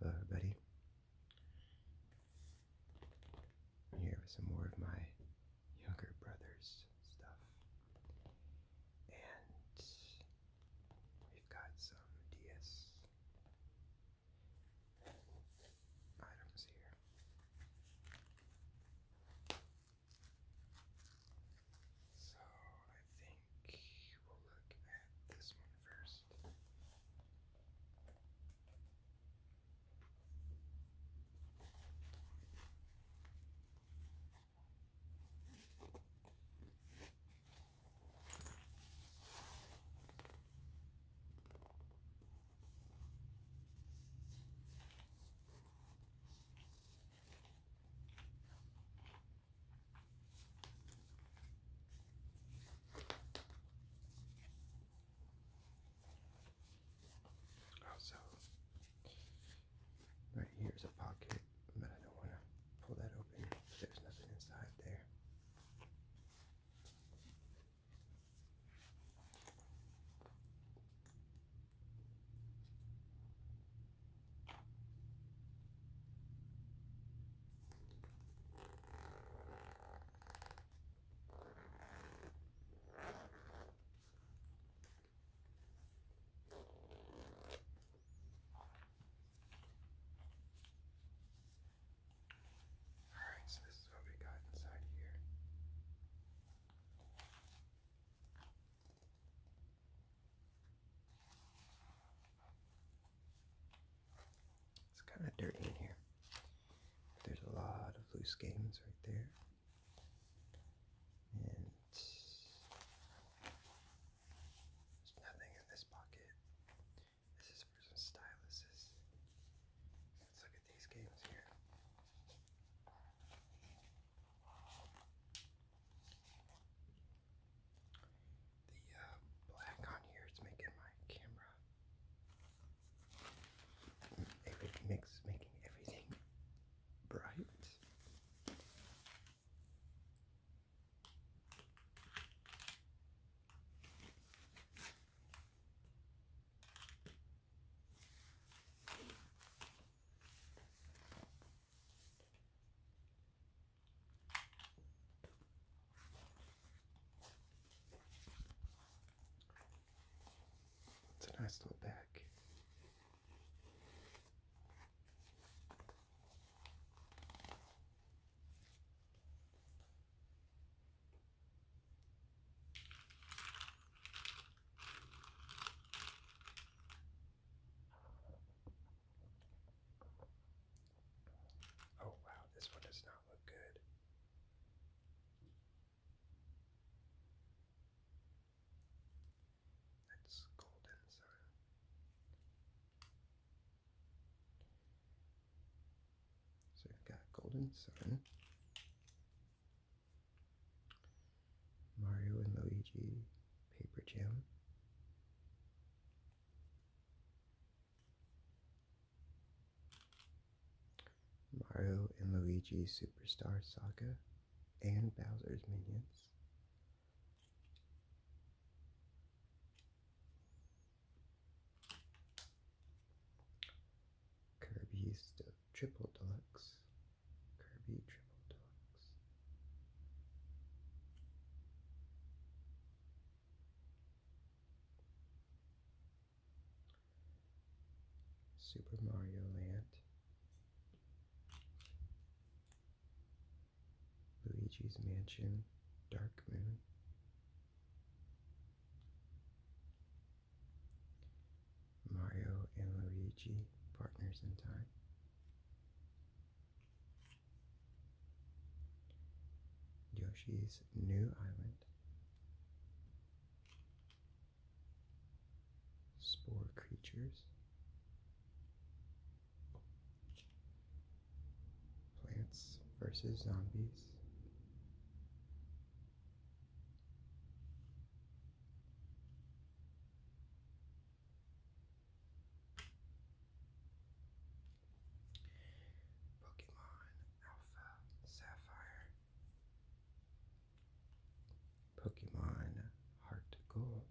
Hello, everybody. i some more of my younger brother's stuff. And we've got some DS items here. So I think we'll look at this one first. Also, oh, right here is a pocket, but I don't want to pull that open. There's nothing inside there. Alright, so this is what we got inside here. It's kind of dirty in here. There's a lot of loose games right there. And there's nothing in this pocket. This is for some Let's look at these games here the uh, black on here—it's making my camera every mix making everything bright. It's a nice little bag. Oh wow, this one does not look good. That's golden sun. So we've got golden sun. Mario and Luigi, Paper Jam, Mario and Luigi's Superstar Saga and Bowser's Minions. Kirby's Triple Deluxe. Kirby Triple Deluxe. Super Mario Land, Luigi's Mansion, Dark Moon, Mario and Luigi Partners in Time, Yoshi's New Island, Spore Creatures, Plants versus Zombies. Pokemon Alpha Sapphire, Pokemon Heart Gold.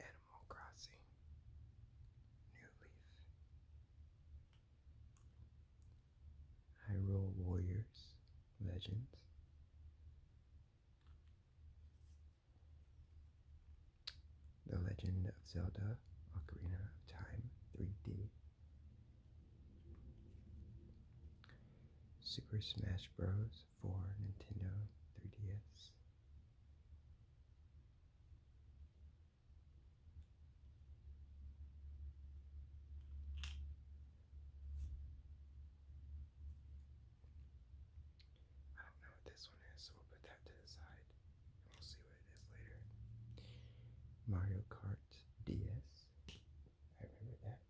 Animal Crossing, New Leaf, Hyrule Warriors, Legends, the Legend of Zelda Ocarina of Time 3D. Super Smash Bros. for Nintendo 3DS. I don't know what this one is, so we'll put that to the side we'll see what it is later. Mario Kart DS. I remember that.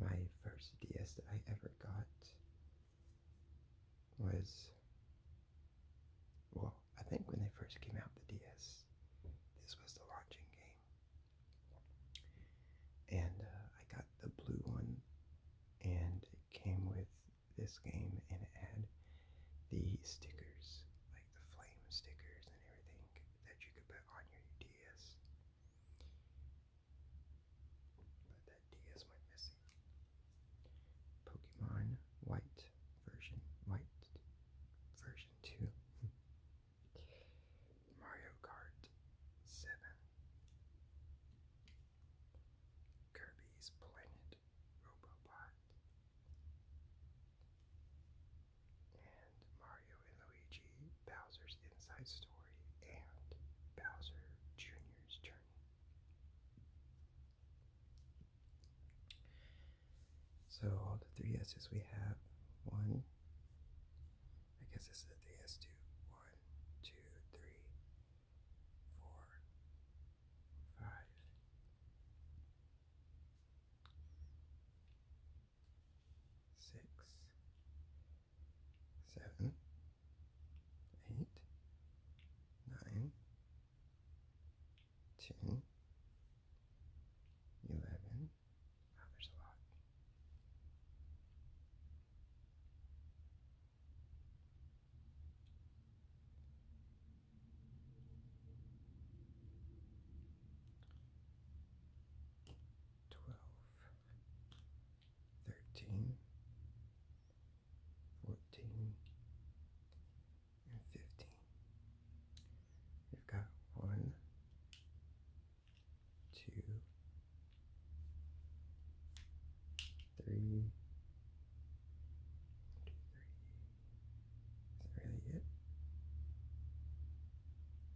My first DS that I ever got was. Well, I think when they first came out, the DS, this was the launching game. And uh, I got the blue one, and it came with this game, and it had the stickers, like the flame stickers and everything that you could put on your DS. But that DS went missing. Pokemon White version, White version 2. Mario Kart 7, Kirby's Planet Robobot, and Mario and Luigi Bowser's Inside Story and Bowser Jr.'s Journey. So all the three S's we have one, I guess this is the DS2. One, two, three, four, five. Six, seven, eight, nine, ten, eleven. there's a lot. Twelve, thirteen, fourteen, and fifteen. You've got one, two, Is that really it?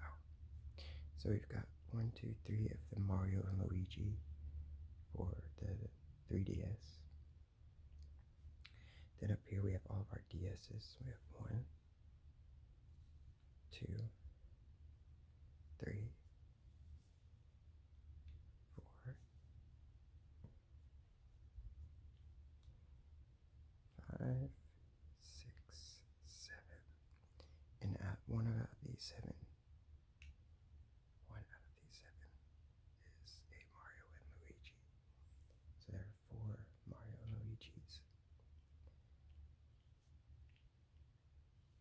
Oh. So we've got one, two, three of the Mario and Luigi for the 3DS. Then up here we have all of our DS's. We have one, two, three, four, five, six, seven. And at one of these seven, one of these seven is a Mario and Luigi. So there are four Mario and Luigi's.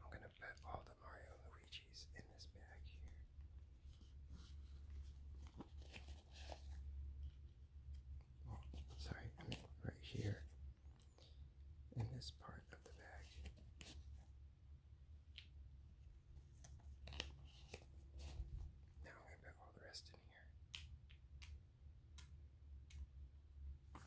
I'm gonna put all the Mario Luigi's in this bag here. Oh, sorry, I mean right here in this part of the bag. Now I'm gonna put all the rest in here.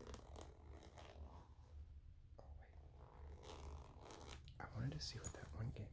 Oh, wait. I wanted to see what that one game was.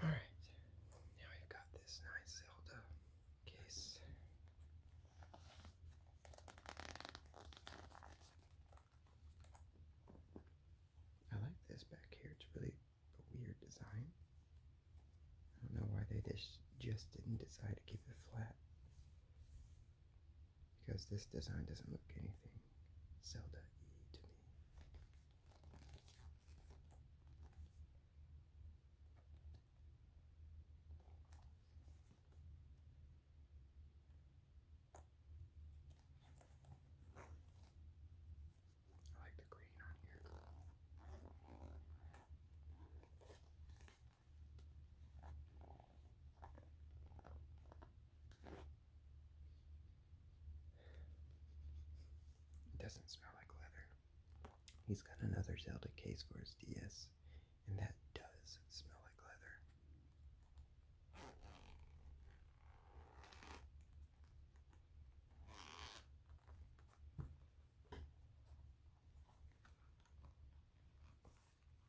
Alright, now we've got this nice Zelda case. I like this back here, it's really a weird design. I don't know why they just, didn't decide to keep it flat. Because this design doesn't look anything Zelda to me. I like the green on here. It doesn't smell like leather. He's got another Zelda case for his DS, and that does smell like leather.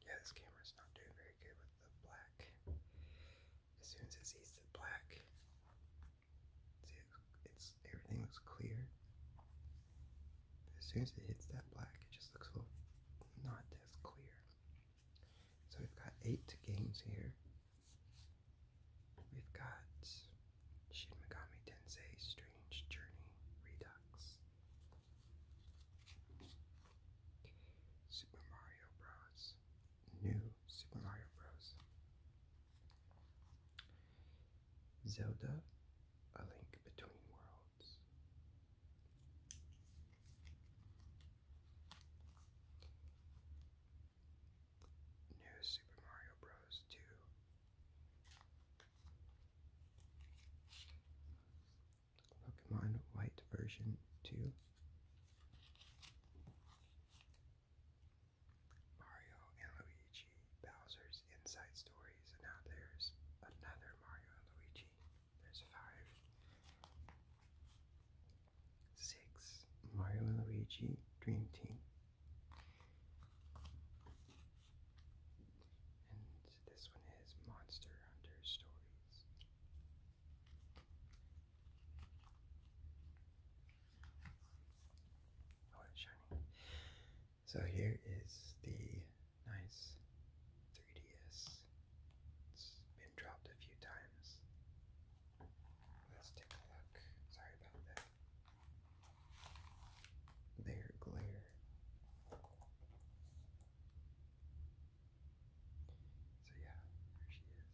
Yeah, this camera's not doing very good with the black. As soon as it the black, See, it's, everything looks clear. As soon as it hits that black, it just looks a little not as clear. So we've got eight games here. We've got Shin Megami Tensei Strange Journey Redux, Super Mario Bros. New Super Mario Bros. Zelda, A Link Between Worlds. New Super Mario Bros. 2. Pokemon White Version 2. Mario and Luigi, Bowser's Inside Stories, and Out there's another Mario and Luigi. There's five. Six, Mario and Luigi Dream Team. And this one is Monster Hunter Stories. Oh, I want shiny. So here is the nice 3DS. It's been dropped a few times. Let's take a look. Sorry about that. Their glare. So yeah, there she is.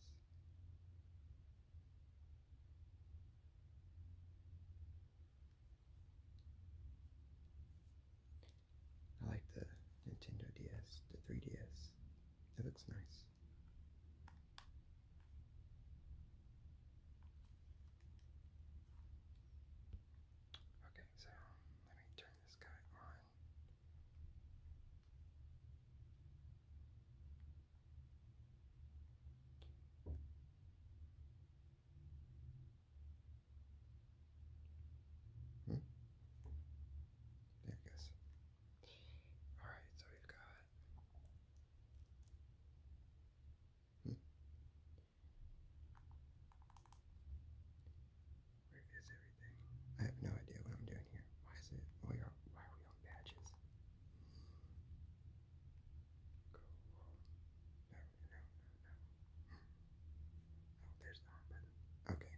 I like the Nintendo DS, the 3DS. It looks nice. Okay, so let me turn this guy on. Hmm. There it goes. All right, so we've got. Hmm. Where is everything? I have no idea what I'm doing here. Why is it? Why are, we on patches? Oh, okay.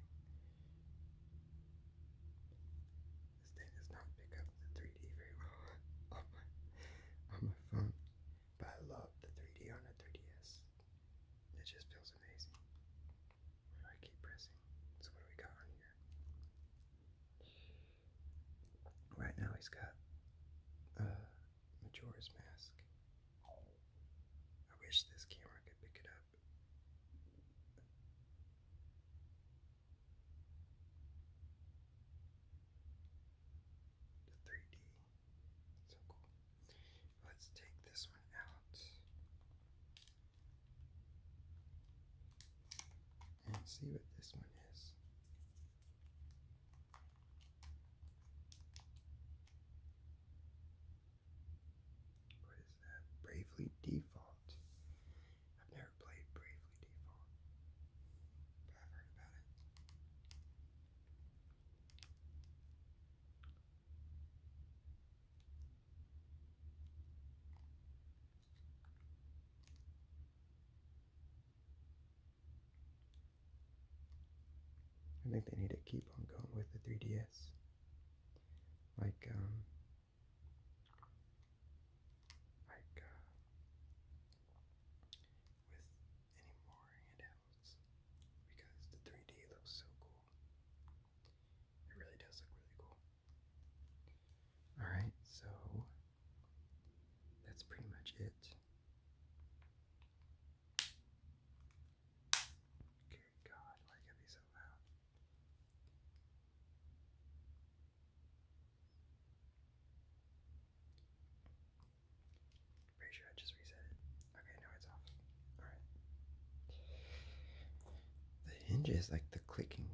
This thing does not pick up the 3D very well on my phone. But I love the 3D on the 3DS. It just feels amazing. Where I keep pressing? So what do we got on here? Right now he's got a uh, Majora's Mask. I wish this camera could pick it up. The 3D. So cool. Let's take this one out and see what this one is. What is that? Bravely Default. I've never played Bravely Default, but I've heard about it. I think they need to keep on going with the 3DS. Like, um, like, uh, with any more handhelds. Because the 3D looks so cool. It really does look really cool. Alright, so that's pretty much it. Okay, God, why you got so loud? Pretty sure I just reset it. Okay, now it's off. Alright. The hinges, like the clicking.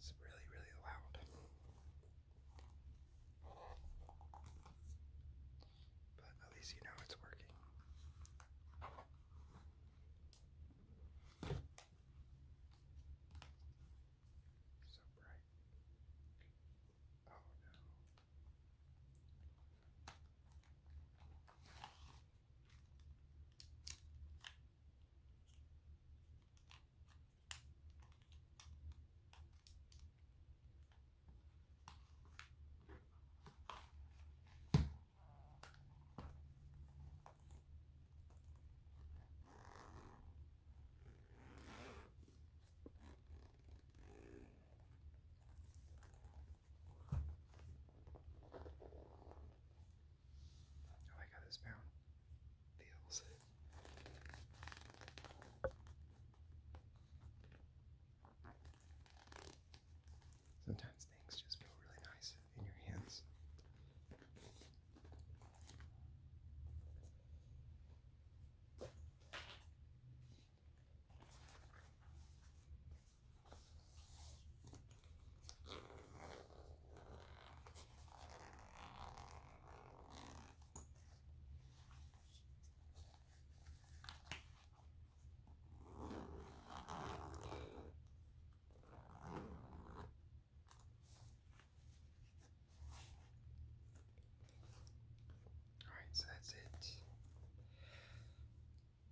It's really, really loud. But at least you know it's working. So bright. Oh no. Oh, I like how this found Sometimes things just feel really nice in your hands. Alright, so that's it.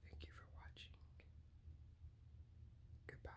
Thank you for watching. Goodbye.